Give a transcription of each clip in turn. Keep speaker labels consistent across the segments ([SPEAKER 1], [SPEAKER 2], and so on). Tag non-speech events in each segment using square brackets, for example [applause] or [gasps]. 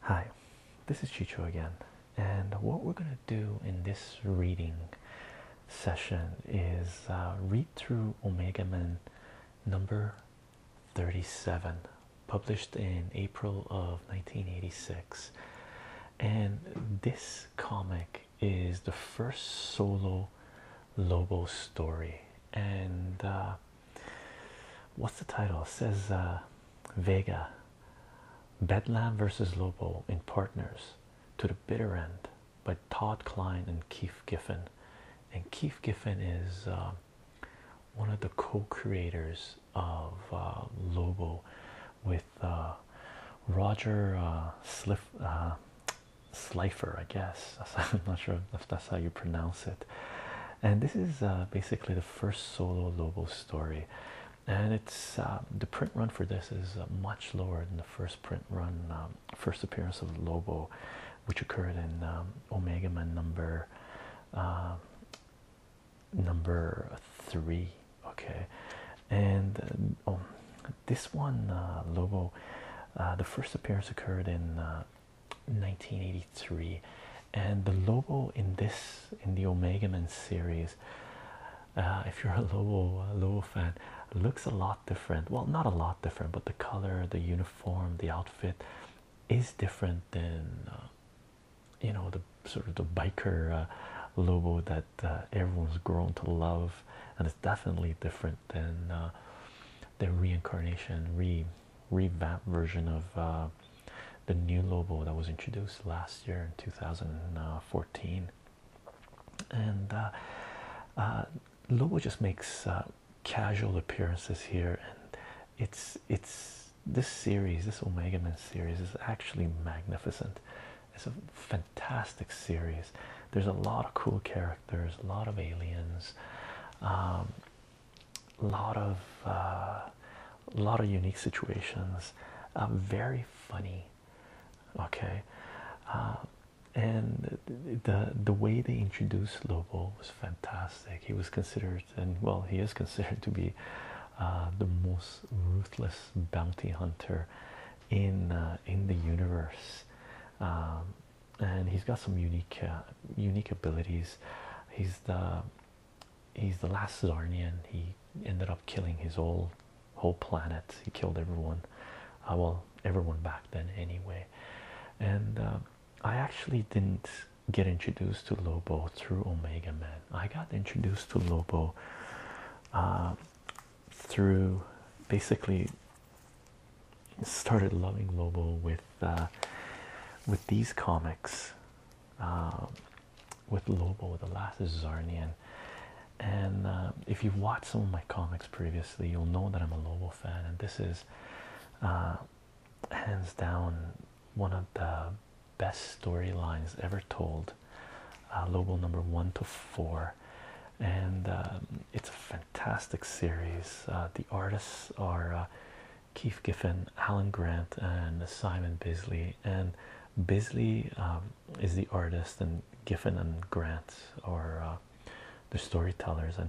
[SPEAKER 1] Hi, this is Chicho again, and what we're going to do in this reading session is uh, read through Omega Men number 37, published in April of 1986. And this comic is the first solo Lobo story, and uh, What's the title? says uh, Vega Bedlam versus Lobo in Partners to the Bitter End by Todd Klein and Keith Giffen. And Keith Giffen is uh, one of the co creators of uh, Lobo with Roger Slifer, I guess. [laughs] I'm not sure if that's how you pronounce it. And this is uh, basically the first solo Lobo story, and it's um, the print run for this is uh, much lower than the first print run, um, first appearance of Lobo, which occurred in um, Omega Man number uh, number three. Okay, and um, this one uh, Lobo, the first appearance occurred in 1983 and the logo in this in the omega Man series uh, if you're a lobo lobo fan looks a lot different well not a lot different but the color the uniform the outfit is different than uh, you know the sort of the biker uh, logo that uh, everyone's grown to love and it's definitely different than the reincarnation re revamp version of uh, the new Lobo that was introduced last year in 2014. And uh, uh, Lobo just makes uh, casual appearances here, and it's it's this series, this Omega Man series, is actually magnificent. It's a fantastic series. There's a lot of cool characters, a lot of aliens. Um, a lot of a uh, lot of unique situations uh, very funny okay uh, and the the way they introduced Lobo was fantastic he was considered and well he is considered to be the most ruthless bounty hunter in in the universe um, and he's got some unique unique abilities he's the he's the last Zarnian. He ended up killing his whole whole planet. He killed everyone. Uh, well, everyone back then anyway. And um, I actually didn't get introduced to Lobo through Omega Man. I got introduced to Lobo uh, through basically started loving Lobo with uh, with these comics um, with Lobo, the last is Zarnian. And uh, if you've watched some of my comics previously, you'll know that I'm a Lobo fan, and this is uh, hands down one of the best storylines ever told. Uh, Lobo number one to four, and um, it's a fantastic series. the artists are Keith Giffen, Alan Grant, and Simon Bisley. And Bisley um, is the artist, and Giffen and Grant are uh, the storytellers. And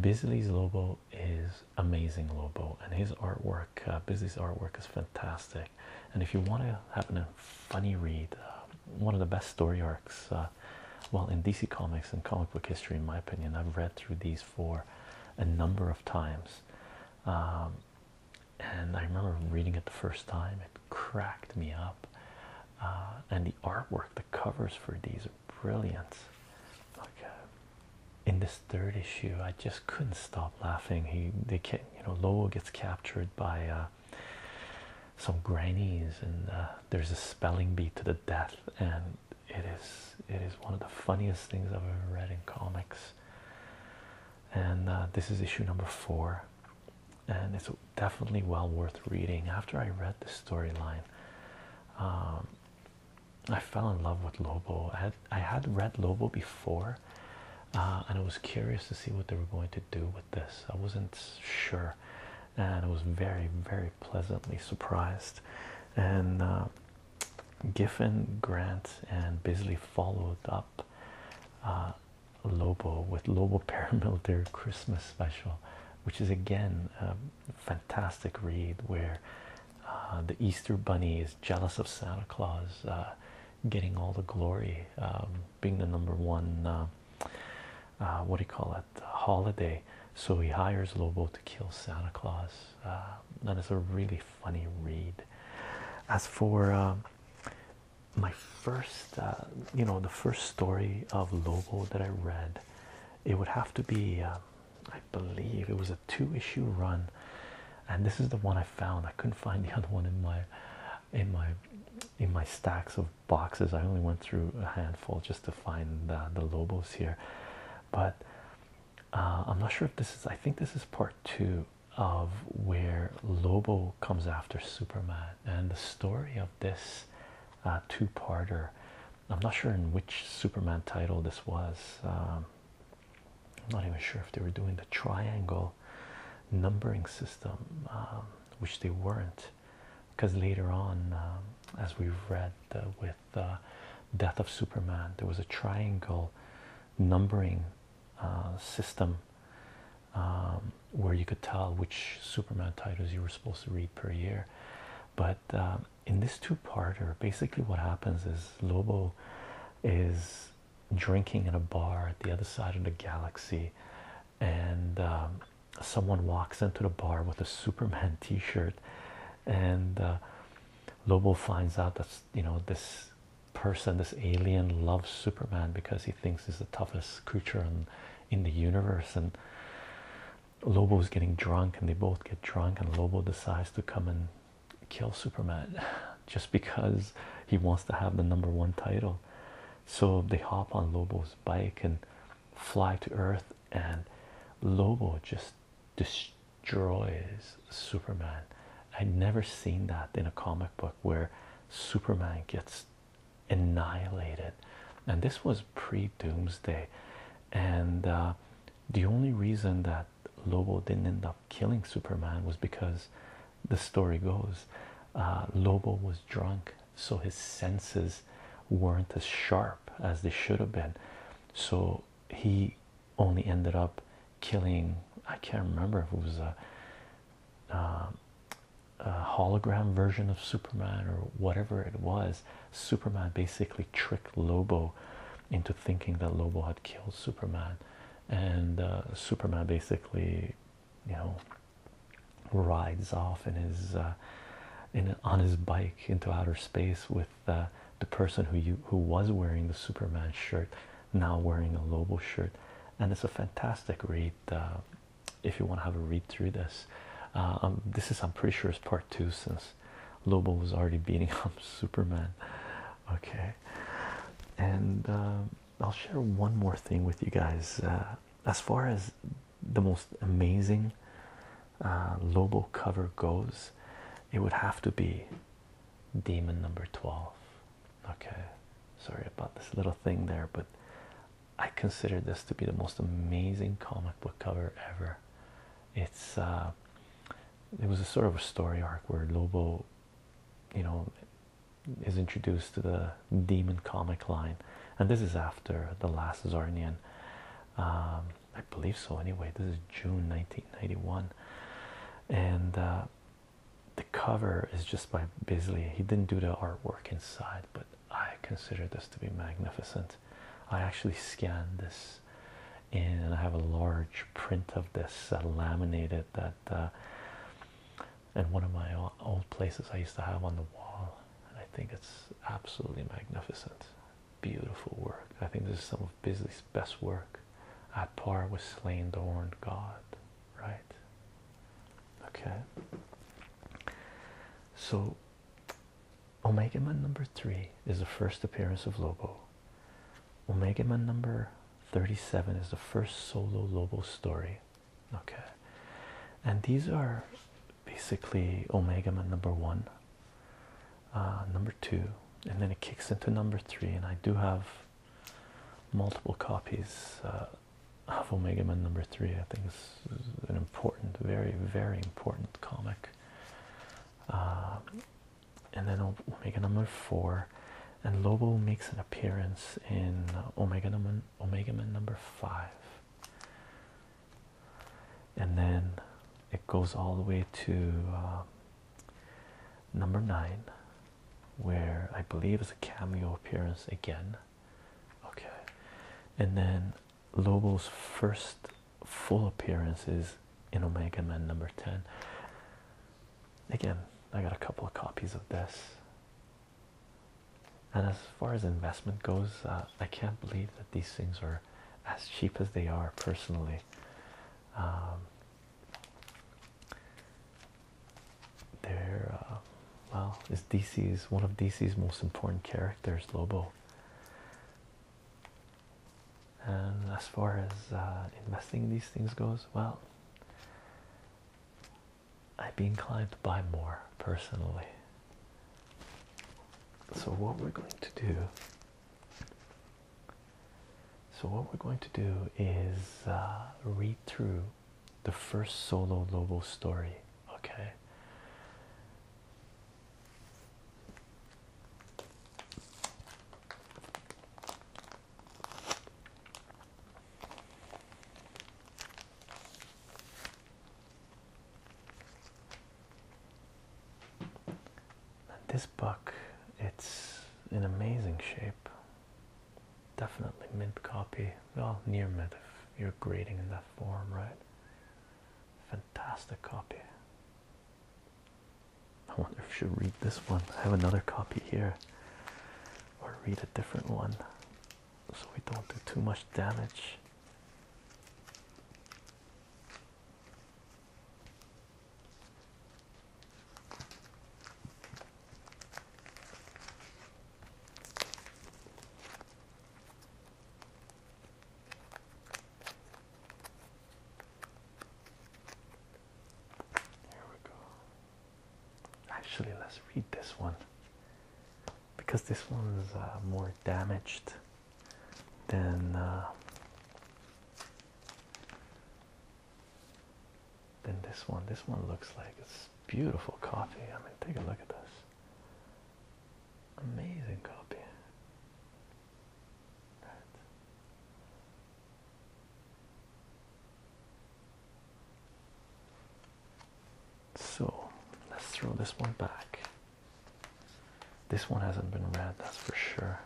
[SPEAKER 1] Bisley's Lobo is amazing Lobo and his artwork, uh, Bisley's artwork, is fantastic. And if you want to have a funny read, uh, one of the best story arcs, well, in DC Comics and comic book history, in my opinion, I've read through these for a number of times. Um, and I remember reading it the first time, it cracked me up. Uh, and the artwork, the covers for these are brilliant. Like uh, in this third issue, I just couldn't stop laughing. He, they can, you know, Lowell gets captured by uh, some grannies, and there's a spelling bee to the death, and it is it is one of the funniest things I've ever read in comics. And uh, this is issue number four, and it's definitely well worth reading. After I read the storyline, um, I fell in love with Lobo. I had, I had read Lobo before, uh, and I was curious to see what they were going to do with this. I wasn't sure, and I was very, very pleasantly surprised. And uh, Giffen, Grant, and Bisley followed up uh, Lobo with Lobo [laughs] Paramilitary Christmas Special, which is again a fantastic read where uh, the Easter Bunny is jealous of Santa Claus uh, getting all the glory, um, being the number one. what do you call it? Holiday. So he hires Lobo to kill Santa Claus uh, that is a really funny read. As for um, my first, uh, you know, the first story of Lobo that I read, it would have to be, um, I believe, it was a two-issue run, and this is the one I found. I couldn't find the [laughs] other one in my, in my, in my stacks of boxes. I only went through a handful just to find the, uh, the Lobos here, but uh, I'm not sure if this is, I think this is part two of where Lobo comes after Superman and the story of this uh, two parter. I'm not sure in which Superman title this was. Um, I'm not even sure if they were doing the triangle numbering system, um, which they weren't, because later on, um, as we've read uh, with the uh, Death of Superman. There was a triangle numbering uh, system um, where you could tell which Superman titles you were supposed to read per year. But um, in this two-parter, basically what happens is Lobo is drinking in a bar at the other side of the galaxy, and um, someone walks into the bar with a Superman [laughs] T-shirt, and uh, Lobo finds out that you know this person, this alien, loves Superman because he thinks he's the toughest creature in, in the universe. And Lobo is getting drunk, and they both get drunk, and Lobo decides to come and kill Superman [laughs] just because he wants to have the number one title. So they hop on Lobo's bike and fly to Earth, and Lobo just dis Droids Superman. I'd never seen that in a comic book where Superman gets annihilated, and this was pre Doomsday. And uh, the only reason that Lobo didn't end up killing Superman was because the story goes uh, Lobo was drunk, so his senses weren't as sharp as they should have been. So he only ended up killing I can't remember if it was um, a, hologram version of Superman or whatever it was. Superman basically tricked Lobo into thinking that Lobo had killed Superman, and uh, Superman basically, you know, rides off in his uh, in on his bike into outer space with the person who you who was wearing the Superman shirt now wearing a Lobo shirt, and it's a fantastic read. Uh, if you want to have a read through this, uh, um, this is I'm pretty sure it's part two since Lobo was already beating [laughs] up Superman. Okay, and uh, I'll share one more thing with you guys as far as the most amazing Lobo cover goes it would have to be demon number 12. Okay, sorry about this little thing there, but I consider this to be the most amazing comic book cover ever. It's uh, it was a sort of a story arc where Lobo, you know, is introduced to the demon comic line, and this is after the last Zornian. Um, I believe so anyway. This is June 1991, and uh, the cover is just by Bisley. He didn't do the artwork inside, but I consider this to be magnificent. I actually scanned this and I have a large print of this uh, laminated that. Uh, in one of my old places I used to have on the wall, and I think it's absolutely magnificent. Beautiful work. I think this is some of Bisley's best work. At par with Slain the Horned God, right? Okay. So, Omega Man number three is the first appearance of Lobo. Omega Man number 37 is the first solo Lobo story. Okay. And these are basically Omega Man number one uh, number two, and then it kicks into number three. And I do have multiple copies uh, of Omega Man number three. I think is an important, very, very important comic. Uh, and then Omega number four, and Lobo makes an appearance in Omega Man, Omega Man number five and then it goes all the way to um, number nine, where I believe is a cameo appearance again. Okay, and then Lobo's first full appearance is in Omega Man number 10. Again, I got a couple of copies of this. And as far as investment goes, uh, I can't believe that these things are as cheap as they are personally. Um, they're uh, well, it's DC's one of DC's most important characters, Lobo. And as far as uh, investing these things goes, well, I'd be inclined to buy more personally. So, what we're going to do so, what we're going to do is uh, read through the first solo Lobo story, okay? This book, it's in amazing shape. Definitely mint copy, well, near mint if you're grading in that form, right? Fantastic copy. I wonder if she'll read this one. I have another copy here, or read a different one so we don't do too much damage. Here we go. Actually, let's read this one because this one is uh, more damaged then uh, then this one this one looks like it's beautiful coffee. I mean take a look at this amazing copy So let's throw this one back this one hasn't been read, that's for sure.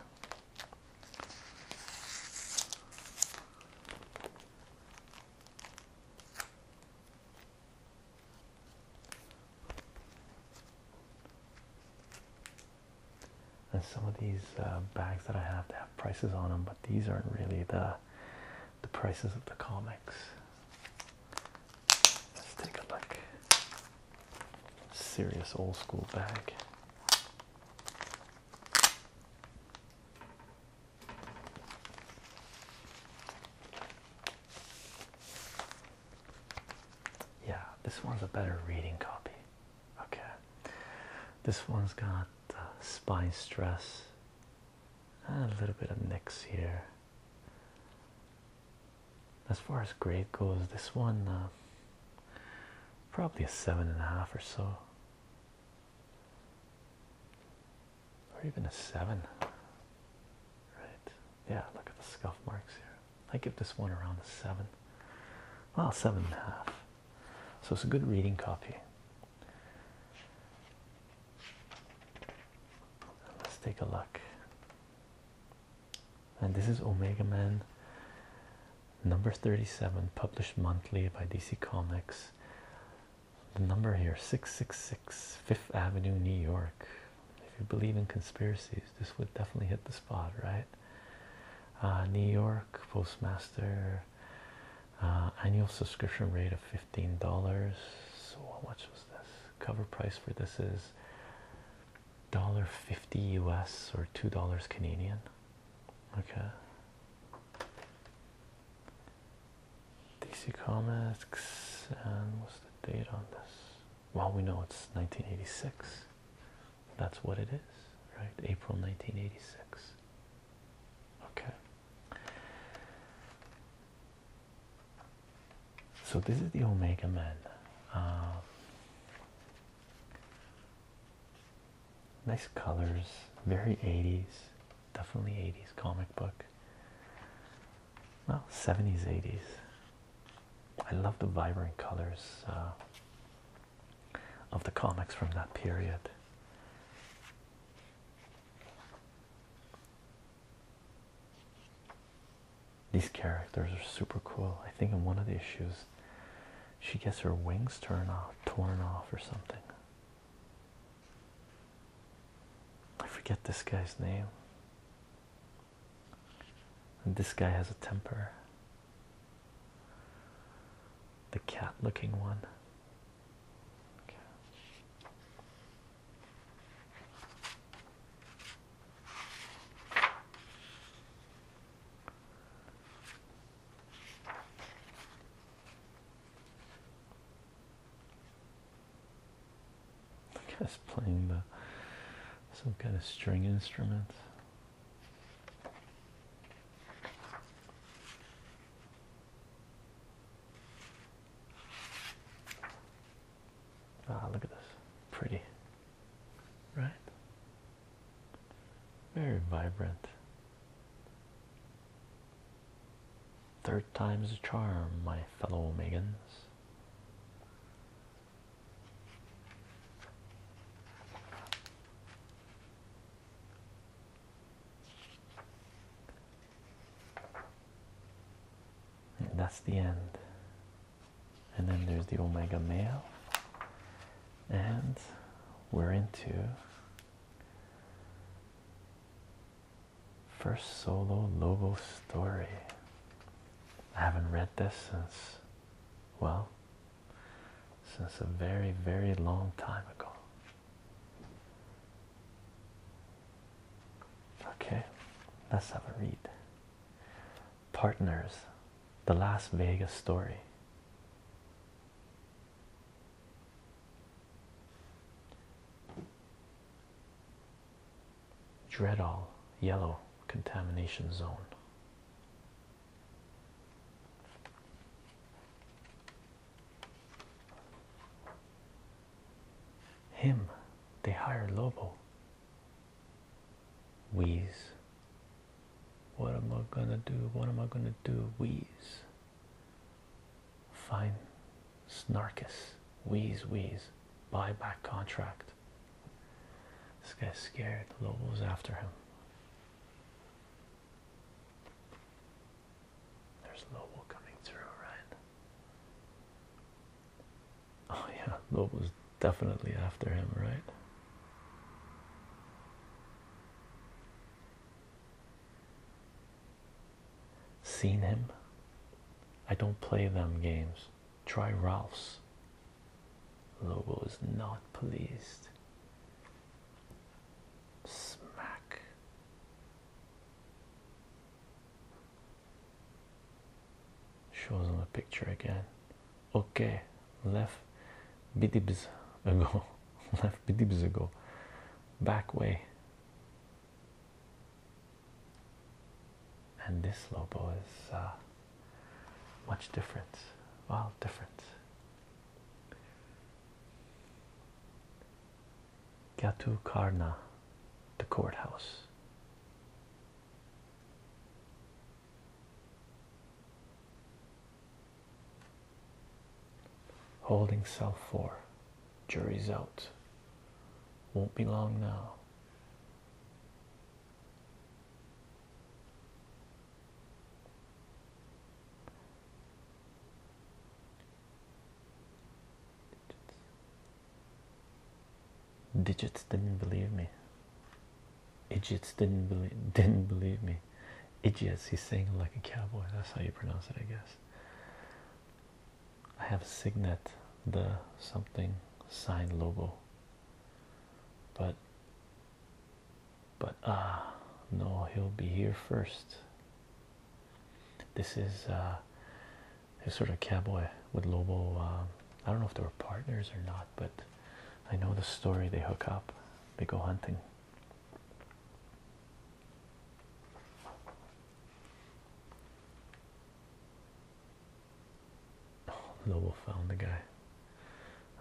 [SPEAKER 1] And some of these uh, bags that I have, they have prices on them, but these aren't really the the prices of the comics. Let's take a look. Serious old school bag. Yeah, this one's a better reading copy. Okay, this one's got uh, spine stress, and ah, a little bit of nicks here, as far as grade goes this one uh, probably a seven and a half or so or even a seven right yeah look at the scuff marks here I give this one around a seven well seven and a half so it's a good reading copy let's take a look and this is Omega Man number 37 published monthly by DC Comics the number here 666 Fifth Avenue New York if you believe in conspiracies this would definitely hit the spot right uh, New York postmaster uh, annual subscription rate of $15 so how was this cover price for this is dollar fifty US or two dollars Canadian. Okay. DC Comics and what's the date on this? Well, we know it's 1986. That's what it is, right? April 1986. Okay. So this is the Omega Man. Um, nice colors, very 80s, definitely 80s comic book. Well, 70s, 80s. I love the vibrant colors uh, of the comics from that period. These characters are super cool. I think in one of the issues, she gets her wings torn off, torn off or something. I forget this guy's name. And this guy has a temper. The cat-looking one. The guy's playing the some kind of string instrument. Ah, look at this. Pretty right? Very vibrant. Third time's a charm, my fellow Megans and that's the end and then there's the omega male and we're into first solo logo story i haven't read this since well since a very very long time ago okay let's have a read Partners, The Las Vegas Story. Dreadall, yellow contamination zone. Him, they hired Lobo wheeze what am I gonna do what am I gonna do wheeze fine snarkus wheeze wheeze buyback contract this guy's scared Lobo's after him there's Lobo coming through right Oh, yeah, Lobo was definitely after him, right? Seen him? I don't play them games. Try Ralph's. Lobo is not pleased. Smack. Shows on the picture again. Okay, left bidibs ago. [laughs] left bidibs ago. Back way. And this logo is uh, much different. Well, different. to Karna, the courthouse. Holding cell four. Jury's out. Won't be long now. Digits didn't believe me. Idiots didn't believe [laughs] didn't believe me. Idiots, he's saying like a cowboy. That's how you pronounce it, I guess. I have signet, the something sign logo. But but ah no, he'll be here first. This is uh, He's sort of cowboy with Lobo. Uh, I don't know if they were partners or not, but I know the story. They hook up. They go hunting. Lobo found the guy.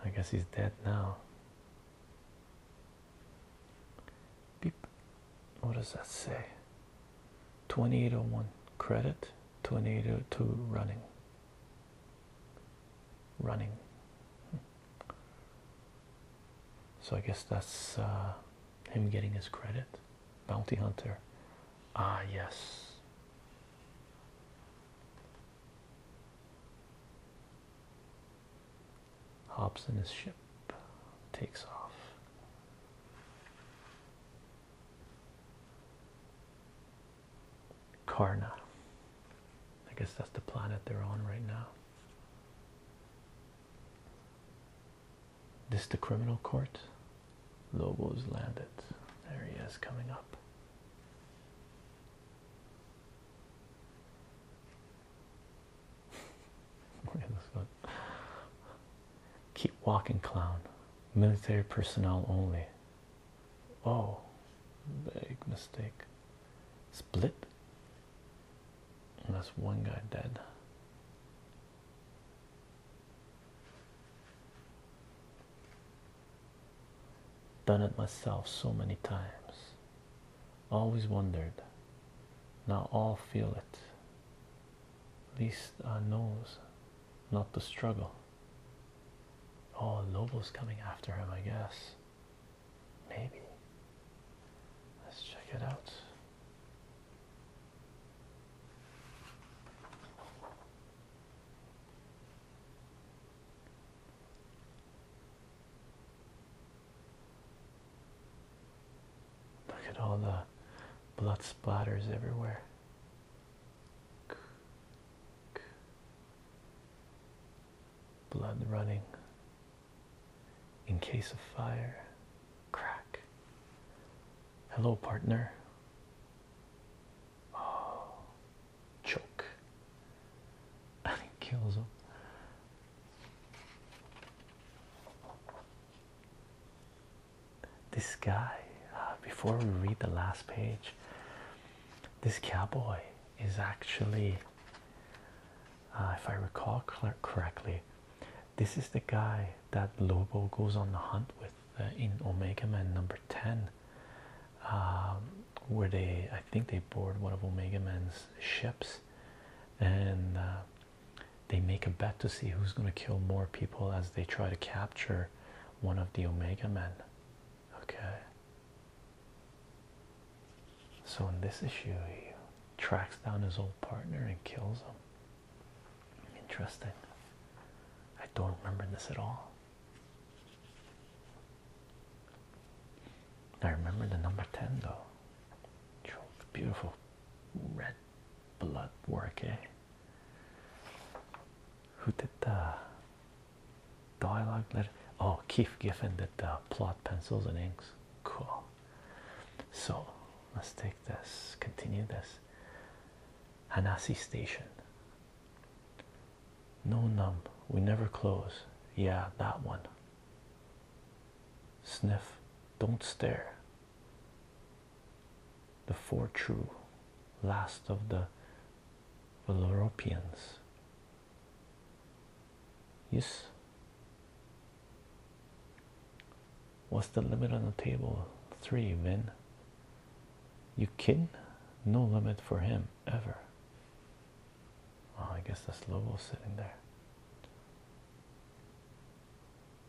[SPEAKER 1] I guess he's dead now. Beep. What does that say? 2801 credit tornado to running running so i guess that's uh, him getting his credit bounty hunter ah yes hops in his ship takes off Karna. I guess that's the planet they're on right now. This the criminal court. Lobo's landed. There he is coming up. [laughs] Keep walking, clown. Military personnel only. Oh, big mistake. Split. And that's one guy dead. Done it myself so many times. Always wondered. Now all feel it. Least I knows, not to struggle. Oh, Lobo's coming after him, I guess. Maybe. Let's check it out. Look at all the blood splatters everywhere blood running in case of fire crack hello partner oh choke kills [laughs] him this guy uh, before we read the last page this cowboy is actually uh, if i recall correctly this is the guy that lobo goes on the hunt with uh, in omega man number 10 um, where they i think they board one of omega man's ships and they make a bet to see who's going to kill more people as they try to capture one of the Omega Men. Okay. So in this issue, he tracks down his old partner and kills him. Interesting. I don't remember this at all. I remember the number 10 though. Beautiful red blood work, eh? Who did the dialogue Oh, Keith Giffen did the plot pencils and inks. Cool. So let's take this, continue this. Hanasi Station. No numb. We never close. Yeah, that one. Sniff. Don't stare the four true, last of the Valoropians. Yes. What's the limit on the table? Three, Vin. You kidding? No limit for him ever. Oh, I guess that's Lobo sitting there.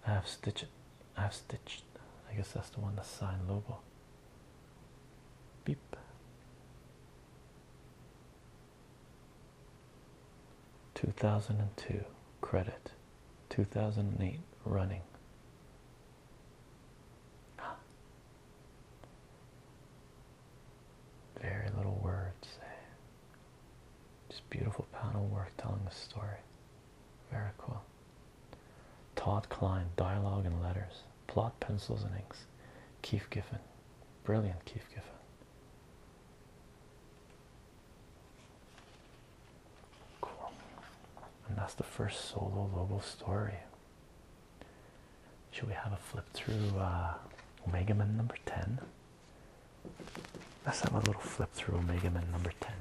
[SPEAKER 1] Half stitch it. I've stitched. I guess that's the one that signed Lobo. Beep. Two thousand and two credit. Two thousand and eight running. [gasps] Very little words. Eh? Just beautiful panel work telling the story. Very cool. Todd Klein, Dialogue and Letters, Plot, Pencils and Inks, Keith Giffen, brilliant Keith Giffen. Cool. And that's the first solo logo story. Should we have a flip through uh, Omega Man number 10? Let's have a little flip through Omega Man number 10.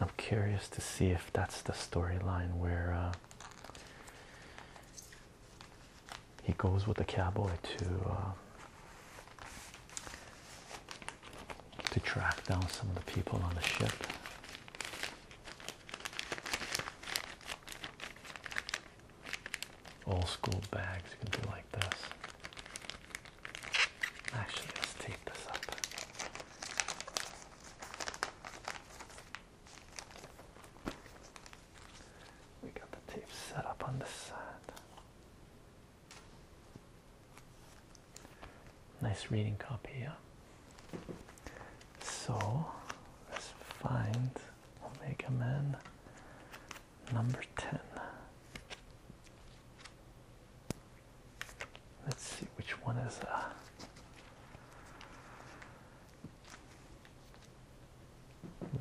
[SPEAKER 1] I'm curious to see if that's the storyline where uh, he goes with the cowboy to uh, to track down some of the people on the ship. Old school bags, can be like this. Actually, let's take this up. We got the tape set up on the side. Nice reading copy, yeah. So let's find Omega Man number 10. Let's see which one is a uh,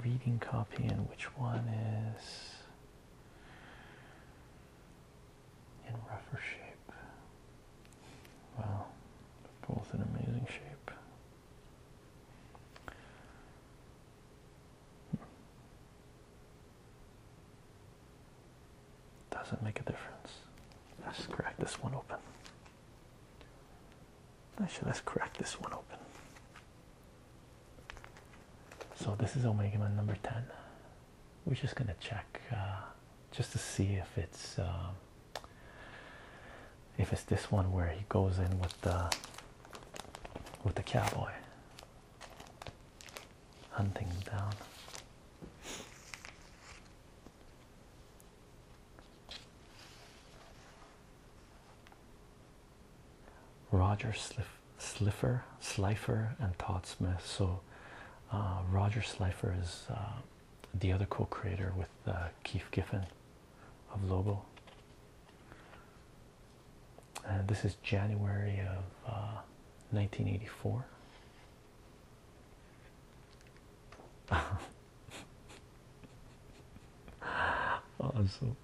[SPEAKER 1] Reading copy and which one is in rougher shape. Wow, both in amazing shape. Doesn't make a difference. Let's crack this one open. Actually, let's crack this one open. So this is Omega Man number 10. We're just gonna check uh, just to see if it's uh, if it's this one where he goes in with the with the cowboy hunting them down. Roger Slifer, Slifer, and Todd Smith. So, uh, Roger Slifer is uh, the other co-creator with uh, Keith Giffen of Lobo. Uh, this is January of 1984. Uh, [laughs] also,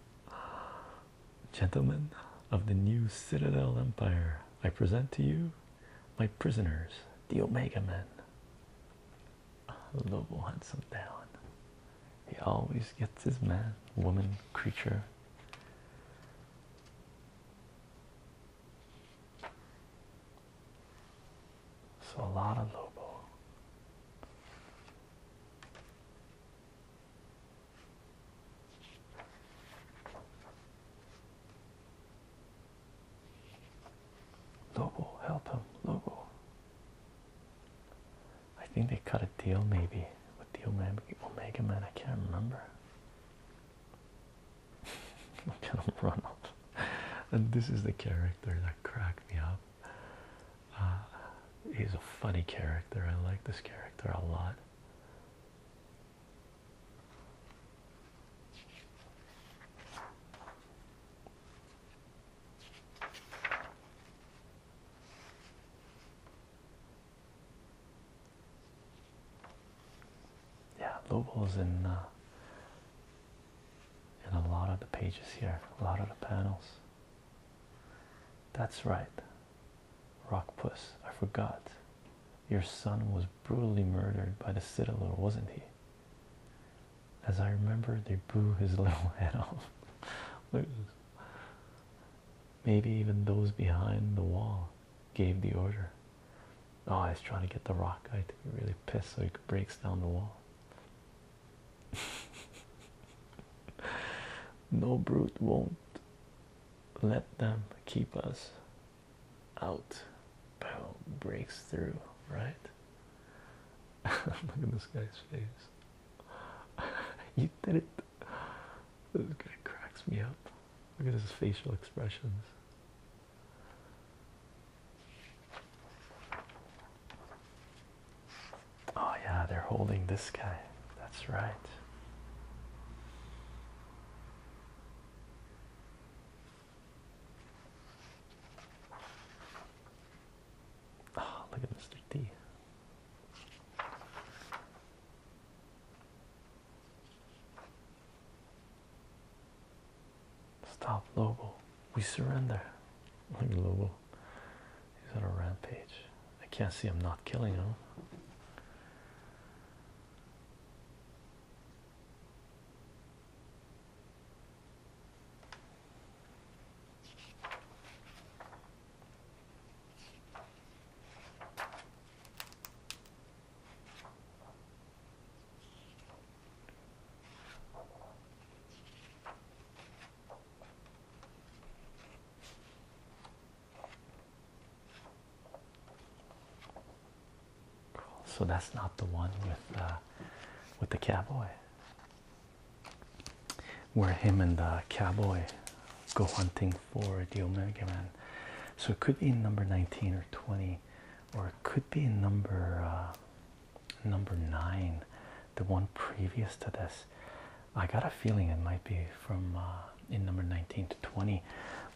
[SPEAKER 1] gentlemen of the new Citadel Empire, I present to you my prisoners, the Omega Men. Lobo hunts him down. He always gets his man, woman, creature. So a lot of Lobo. Lobo, help him, Lobo. I think they cut a deal maybe with the Omega, Omega Man. I can't remember kind [laughs] of run off. And this is the character that cracked me up. Uh, he's a funny character. I like this character a lot. Yeah, Lobo's in uh, in a lot of the pages here, a lot of the panels. That's right. Rock Puss, I forgot. Your son was brutally murdered by the Citadel, wasn't he? As I remember, they blew his [laughs] little head off. Maybe even those behind the wall gave the order. Oh, he's trying to get the rock guy to be really pissed so he breaks down the wall. [laughs] no brute won't let them keep us out. Boom, breaks through, right? [laughs] Look at this guy's face. [laughs] you did it [laughs] this guy cracks me up. Look at his facial expressions. Oh, yeah, they're holding this guy. That's right. Ah, look at Mr. D. Stop Lobo. We surrender. Look Lobo. He's on a rampage. I can't see him not killing him. So that's not the one with uh, with the cowboy, where him and the cowboy go hunting for the Omega Man. So it could be in number 19 or 20, or it could be in number uh, number nine, the one previous to this. I got a feeling it might be from uh, in number 19 to 20,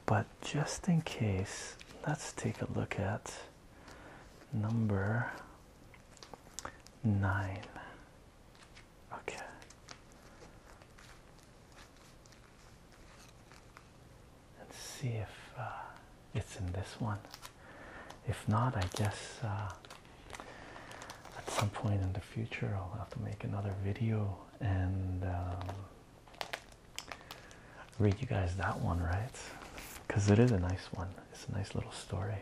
[SPEAKER 1] but just in case, let's take a look at number nine. Okay. Let's see if uh, it's in this one. If not, I guess uh, at some point in the future I'll have to make another video and um, read you guys that one, right? Because it is a nice one. It's a nice little story.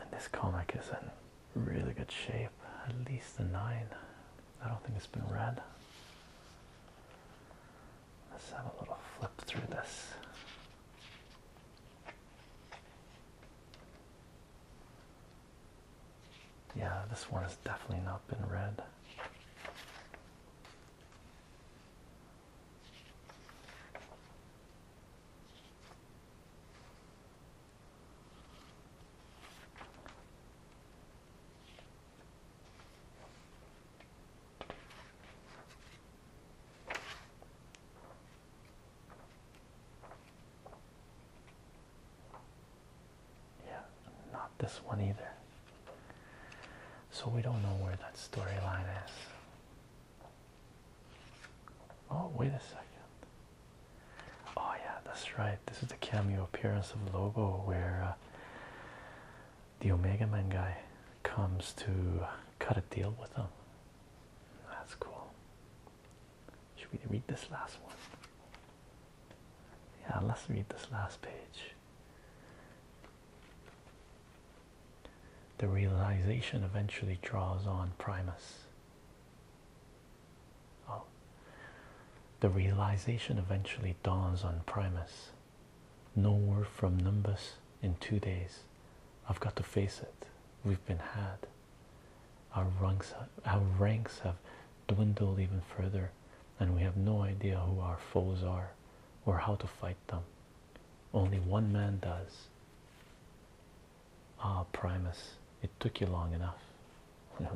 [SPEAKER 1] And this comic is in really good shape, at least a 9. I don't think it's been read. Let's have a little flip through this. Yeah, this one has definitely not been read. Yeah, not this one either. So we don't know where that storyline is. Oh, wait a second. Oh, yeah, that's right. This is the cameo appearance of Lobo where uh, the Omega Man guy comes to cut a deal with him. That's cool. Should we read this last one? Yeah, let's read this last page. The realization eventually draws on Primus. Oh. The realization eventually dawns on Primus. No word from Nimbus in two days. I've got to face it. We've been had. our ranks have dwindled even further, and we have no idea who our foes are or how to fight them. Only one man does. Ah, Primus, it took you long enough. That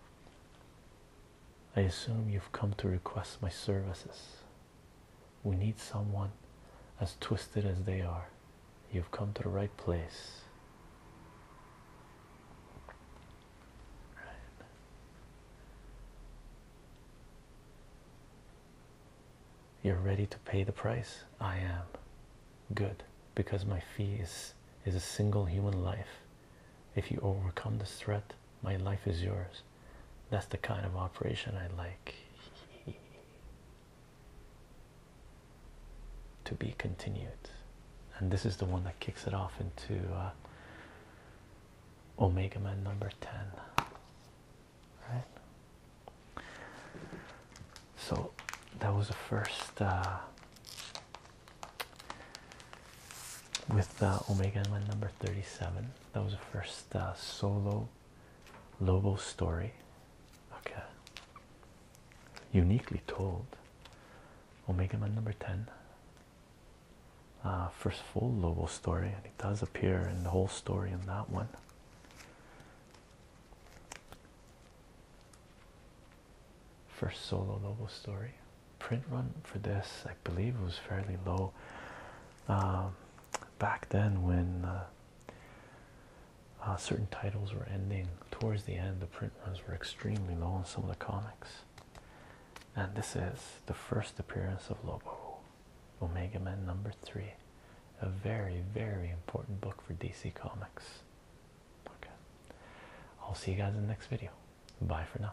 [SPEAKER 1] [laughs] I assume you've come to request my services. We need someone as twisted as they are. You've come to the right place. Right. You're ready to pay the price? I am. Good, because my fee is, is a single human life. If you overcome this threat, my life is yours. That's the kind of operation I like. [laughs] to be continued. And this is the one that kicks it off into uh, Omega Man number 10 right? So that was the first uh, with uh, Omega Man number 37. That was the first uh, solo Lobo story. Okay. Uniquely told. Omega Man number 10. Uh, first full Lobo story, and it does appear in the whole story in that one. First solo Lobo story print run for this, I believe was fairly low um, back then when uh, uh, certain titles were ending towards the end. The print runs were extremely low on some of the comics, and this is the first appearance of Lobo. Omega Men number three. A very, very important book for DC Comics. Okay. I'll see you guys in the next video. Bye for now.